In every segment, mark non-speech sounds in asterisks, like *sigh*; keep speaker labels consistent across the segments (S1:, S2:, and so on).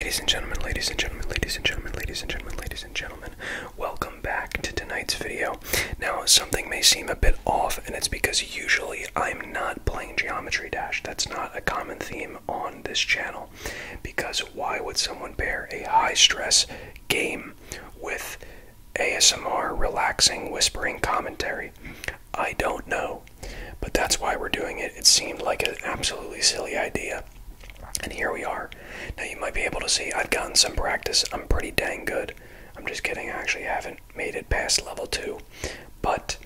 S1: Ladies and gentlemen, ladies and gentlemen, ladies and gentlemen, ladies and gentlemen, ladies and gentlemen, welcome back to tonight's video. Now, something may seem a bit off, and it's because usually I'm not playing Geometry Dash. That's not a common theme on this channel. Because why would someone pair a high stress game with ASMR, relaxing, whispering commentary? I don't know. But that's why we're doing it. It seemed like an absolutely silly idea and here we are. Now you might be able to see I've gotten some practice. I'm pretty dang good. I'm just kidding. I actually haven't made it past level 2. But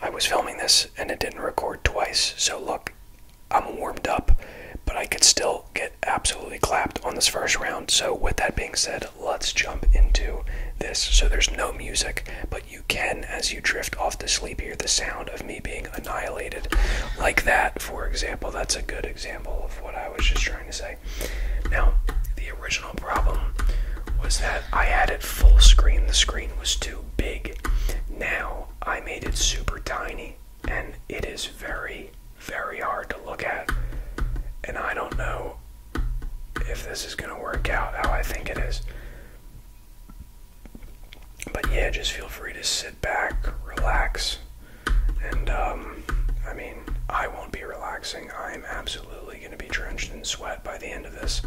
S1: I was filming this and it didn't record twice. So look, I'm warmed up, but I could still get absolutely clapped on this first round. So with that being said, let's jump into this. So there's no music, but you can as you drift off to sleep hear the sound of me being annihilated like that, for example. That's a good example of what I was just trying to say. Now, the original problem was that I had it full screen, the screen was too big. Now, I made it super tiny, and it is very, very hard to look at. And I don't know if this is going to work out how I think it is. But yeah, just feel free to sit back, relax, and um, I mean, I won't be relaxing. I'm absolutely going to be drenched in sweat by the end of this.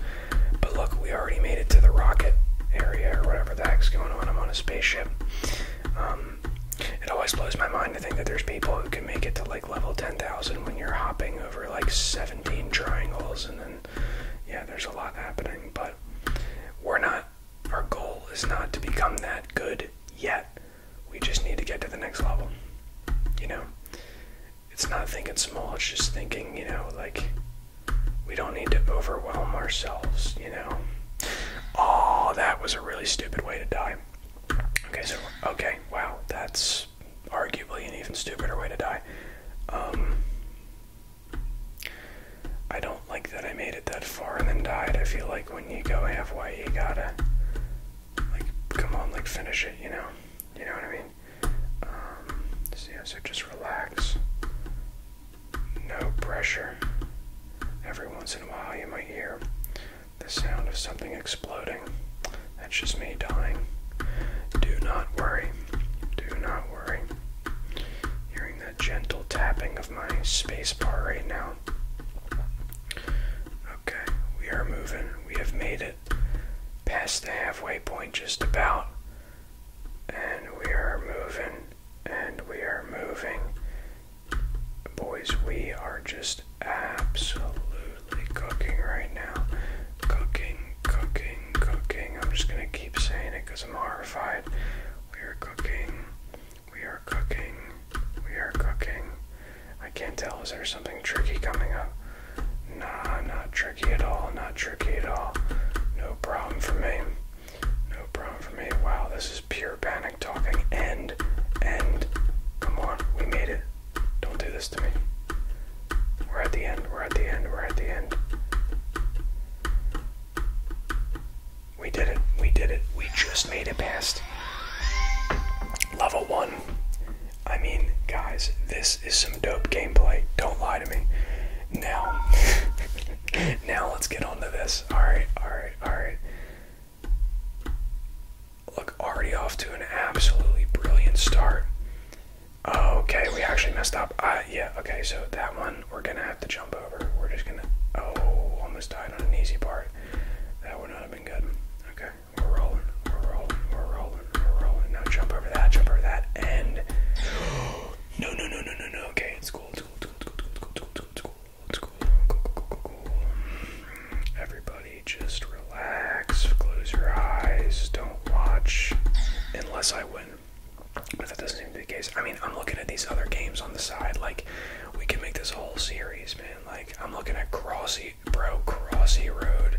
S1: But look, we already made it to the rocket area or whatever the heck's going on. I'm on a spaceship. Um, it always blows my mind to think that there's people who can make it to like level 10,000 when you're hopping over like 17 triangles, and then yeah, there's a lot happening. But we're not our goal is not to become that good yet. We just need to get to the next level. You know? It's not thinking small, it's just thinking, you know, like we don't need to overwhelm ourselves, you know? Oh, that was a really stupid way to die. Okay, so, okay, wow, that's arguably an even stupider way to die. Um, I don't like that I made it that far and then died. I feel like when you go halfway, you gotta, like, come on, like, finish it, you know? You know what I mean? Um, so, yeah, so just relax. No pressure. Every once in a while, you might hear the sound of something exploding. That's just me dying. Do not worry. Do not worry doing that gentle tapping of my spacebar right now. Okay, we are moving. We have made it past the halfway point just about. And we are moving. And we are moving. Boys, we are just absolutely cooking right now. Cooking, cooking, cooking. I'm just going to keep saying it because I'm horrified. We are cooking. We are cooking. We are cooking. I can't tell. Is there something tricky coming up? Nah, not tricky at all. Not tricky at all. No problem for me. No problem for me. Wow, this is pure panic talking. End. End. Come on. We made it. Don't do this to me. We're at the end. We're at the end. We're at the end. We did it. We did it. We just made it past level one. I mean, guys, this is some dope gameplay. Don't lie to me. Now, *laughs* now let's get on to this. Alright, alright, alright. Look, already off to an absolutely brilliant start. Okay, we actually messed up. Uh, yeah, okay, so that one one we're gonna have to jump over. We're just gonna oh almost died on an easy part. That would not have been good. Okay, we're rolling, we're rolling, we're rolling, we're rolling. Now jump over that, jump over that, and no no no no no no okay, it's cool, it's cool, it's cool, it's cool, it's cool, it's cool, it's cool, it's cool, cool, cool, cool, cool. Everybody just relax, close your eyes, don't watch unless I win. But that doesn't seem to be the case. I mean, I'm looking at these other games on the side. Like, we can make this whole series, man. Like, I'm looking at Crossy, bro, Crossy Road.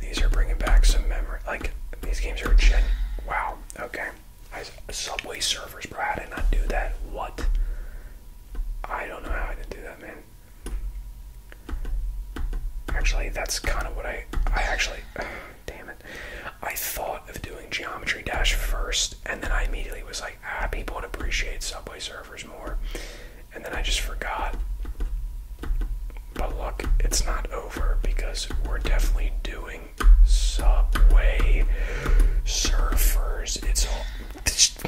S1: These are bringing back some memory. Like, these games are gen. Wow. Okay. Subway Surfers, bro. I did not do that? What? I don't know how I did do that, man. Actually, that's kind of what I. I actually. *sighs* damn it. I thought of doing Geometry Dash first, and then I immediately was like, ah, people would appreciate Subway Surfers more. And then I just forgot. But look, it's not over because we're definitely doing Subway Surfers. It's all.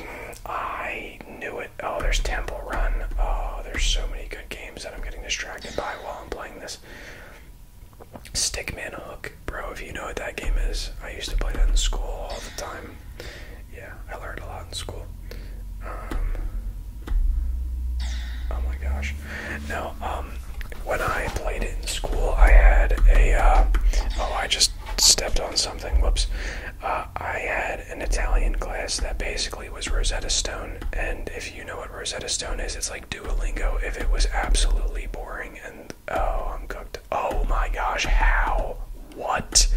S1: *sniffs* I knew it. Oh, there's Temple Run. Oh, there's so many good games that I'm getting distracted by while I'm playing this. Stickman Hook, bro. If you know what that game is, I used to play that in school all the time. Yeah, I learned a lot in school. Um, oh my gosh. Now, um, when I played it in school, I had a. Uh, oh, I just stepped on something. Whoops. Uh, I had an Italian glass that basically was Rosetta Stone, and if you know what Rosetta Stone is, it's like Duolingo if it was absolutely boring and oh, I'm cooked. Oh my gosh, how? What?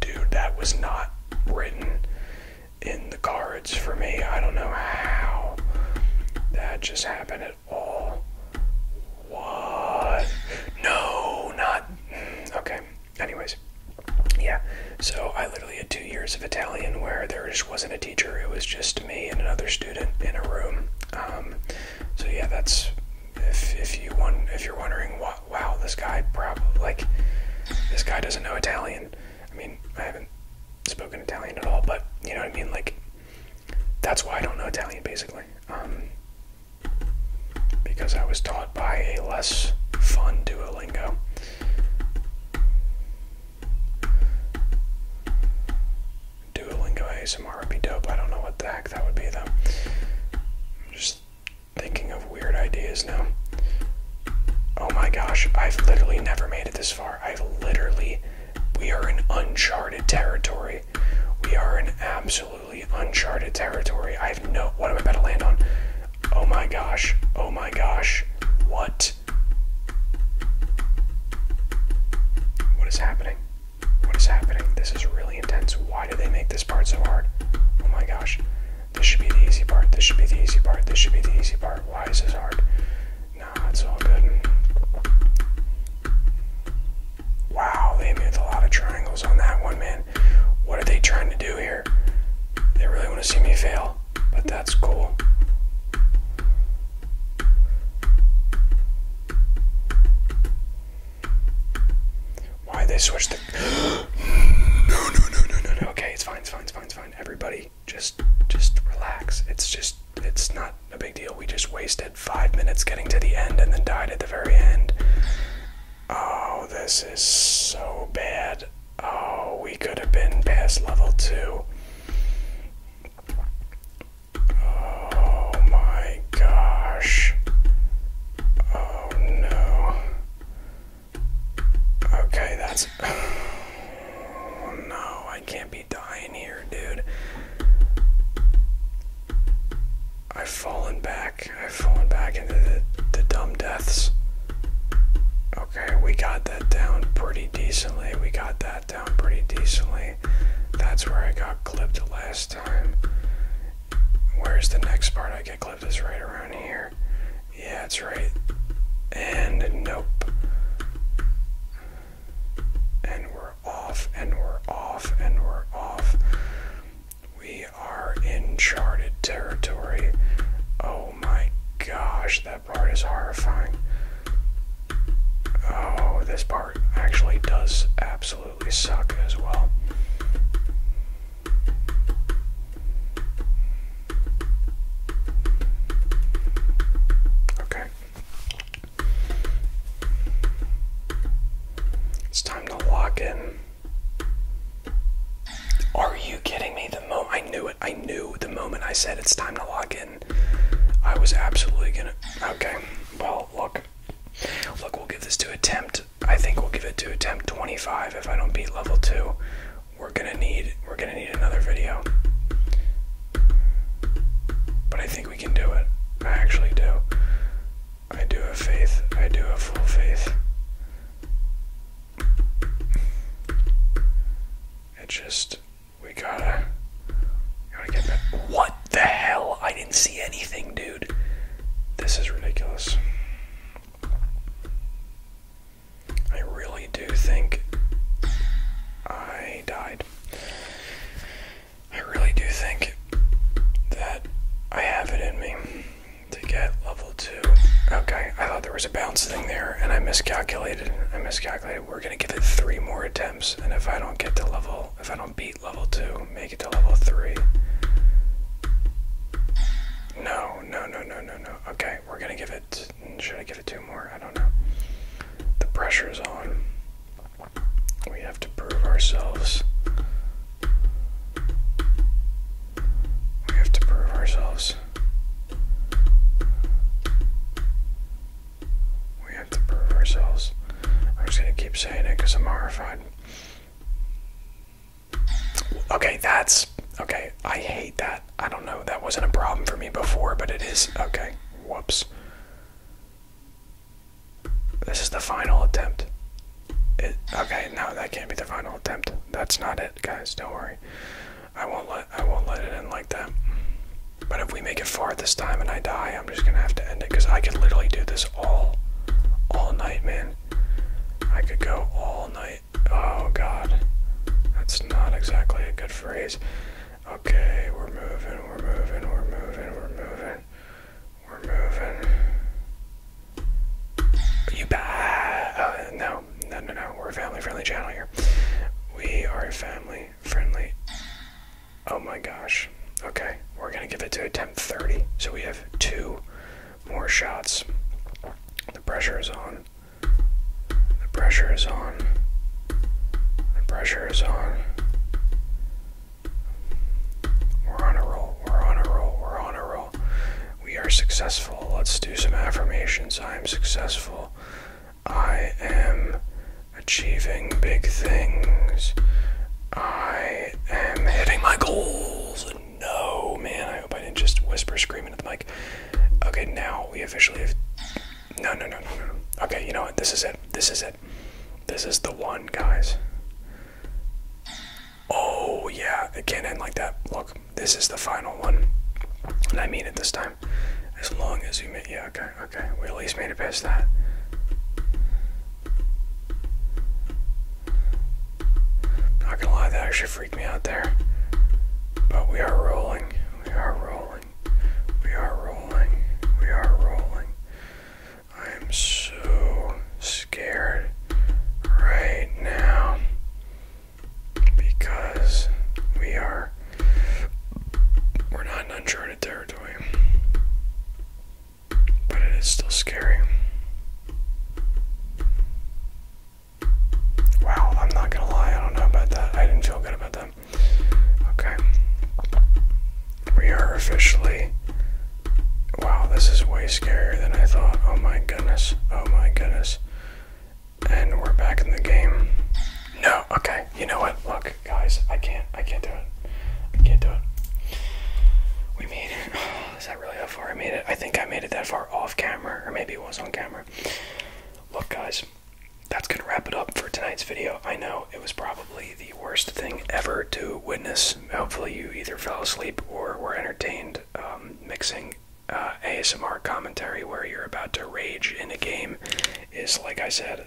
S1: Dude, that was not written in the cards for me. I don't know how that just happened at all. What? No, not. Mm, okay. Anyways, yeah. So I literally had two years of Italian where there just wasn't a it was just me and another student in a room. Um, so yeah, that's if you want if you're wondering wow this guy probably like this guy doesn't know Italian. I mean I haven't spoken Italian at all, but you know what I mean. Like that's why I don't know Italian basically. Um, because I was taught by a less fun Duolingo. Duolingo ASMR would be dope. I don't know what the heck that would be though. I'm just thinking of weird ideas now. Oh my gosh, I've literally never made it this far. I've literally, we are in uncharted territory. We are in absolutely uncharted territory. I have no, what am I about to land on? Oh my gosh, oh my gosh, what? What is happening? What is happening? This is really intense. Why did they make this part so hard? Oh my gosh. This should be the easy part. This should be the easy part. This should be the easy part. Why is this hard? Nah, it's all good. Wow, they made a lot of triangles on that one, man. What are they trying to do here? They really want to see me fail, but that's cool. Why they switched the *gasps* No no no no no no okay it's fine it's fine it's fine it's fine everybody just just relax it's just it's not a big deal we just wasted five minutes getting to the end and then died at the very end oh this is so bad oh we could have been past level two Oh my gosh. Oh no. Okay, that's. *sighs* no, I can't be dying here, dude. I've fallen back. I've fallen back into the, the dumb deaths. Okay, we got that down pretty decently. We got that down pretty decently. That's where I got clipped last time. Where's the next part I get clipped? Is right around here. Yeah, it's right. And nope. And we're off, and we're off, and we're off. We are in charted territory. Oh my gosh, that part is horrifying. Oh, this part actually does absolutely suck as well. Okay. It's time to lock in. Are you kidding me? The moment I knew it, I knew the moment I said it's time to lock in I was absolutely gonna. Okay, well, look. Look, we'll give this to attempt. I think we'll give it to attempt 25 if I don't beat level 2. We're gonna need we're gonna need another video. But I think we can do it. I actually do. I do have faith. I do have full faith. It just we gotta, gotta get that. What the hell? I didn't see anything, dude. This is ridiculous. I really do think I died. I really do think that I have it in me to get level 2. Okay, I thought there was a bounce thing there and I miscalculated. I miscalculated. We're going to give it three more attempts, and if I don't get to level if I don't beat level 2, make it to level 3. No, no, no, no, no, no. Okay, we're gonna give it. Should I give it two more? I don't know. The pressure is on. We have to prove ourselves. We have to prove ourselves. We have to prove ourselves. I'm just gonna keep saying it because I'm horrified. Okay, that's okay. I hate that. I don't know. That wasn't a problem for me before, but it is. Okay, whoops. This is the final attempt. It, okay, no, that can't be the final attempt. That's not it, guys. Don't worry. I won't let I won't let it in like that. But if we make it far this time and I die, I'm just gonna have to end it because I could literally do this all, all night, man. I could go all night. Oh God, that's not exactly a good phrase. Okay, we're moving, we're moving, we're moving, we're moving, we're moving. Are you bad? Uh, no, no, no, no. We're a family-friendly channel here. We are a family-friendly Oh my gosh. Okay, we're gonna give it to attempt 30. So we have two more shots. The pressure is on. The pressure is on. The pressure is on. We're on a roll. We're on a roll. We're on a roll. We are successful. Let's do some affirmations. I am successful. I am achieving big things. I am hitting my goals. No, man, I hope I didn't just whisper screaming at the mic. Okay, now we officially have. No, no, no, no, no. Okay, you know what? This is it. This is it. This is the one, guys. Oh, yeah, it can't end like that. Look, this is the final one. And I mean it this time. As long as you make. Yeah, okay, Okay, we at least made it past that. Not gonna lie, that actually freaked me out there. But we are rolling. We are rolling. We are rolling. We are rolling. I am so scared right now because we are we're not in uncharted territory. But it is still scary. Wow, I'm not gonna lie, I don't know about that. I didn't feel good about that. Okay. We are officially. Wow, this is way scarier than I thought. Oh my goodness. Oh my goodness. And we're back in the game. No, okay, you know what? Look, guys. I can't. I can't do it. I can't do it. We made it. Oh, *sighs* is that really that far? I made it. I think I made it that far off camera, or maybe it was on camera. Look, guys, that's gonna wrap it up for tonight's video. I know it was probably the worst thing ever to witness. Hopefully, you either fell asleep or were entertained um, mixing uh, ASMR commentary where you're about to rage in a game. Is like I said,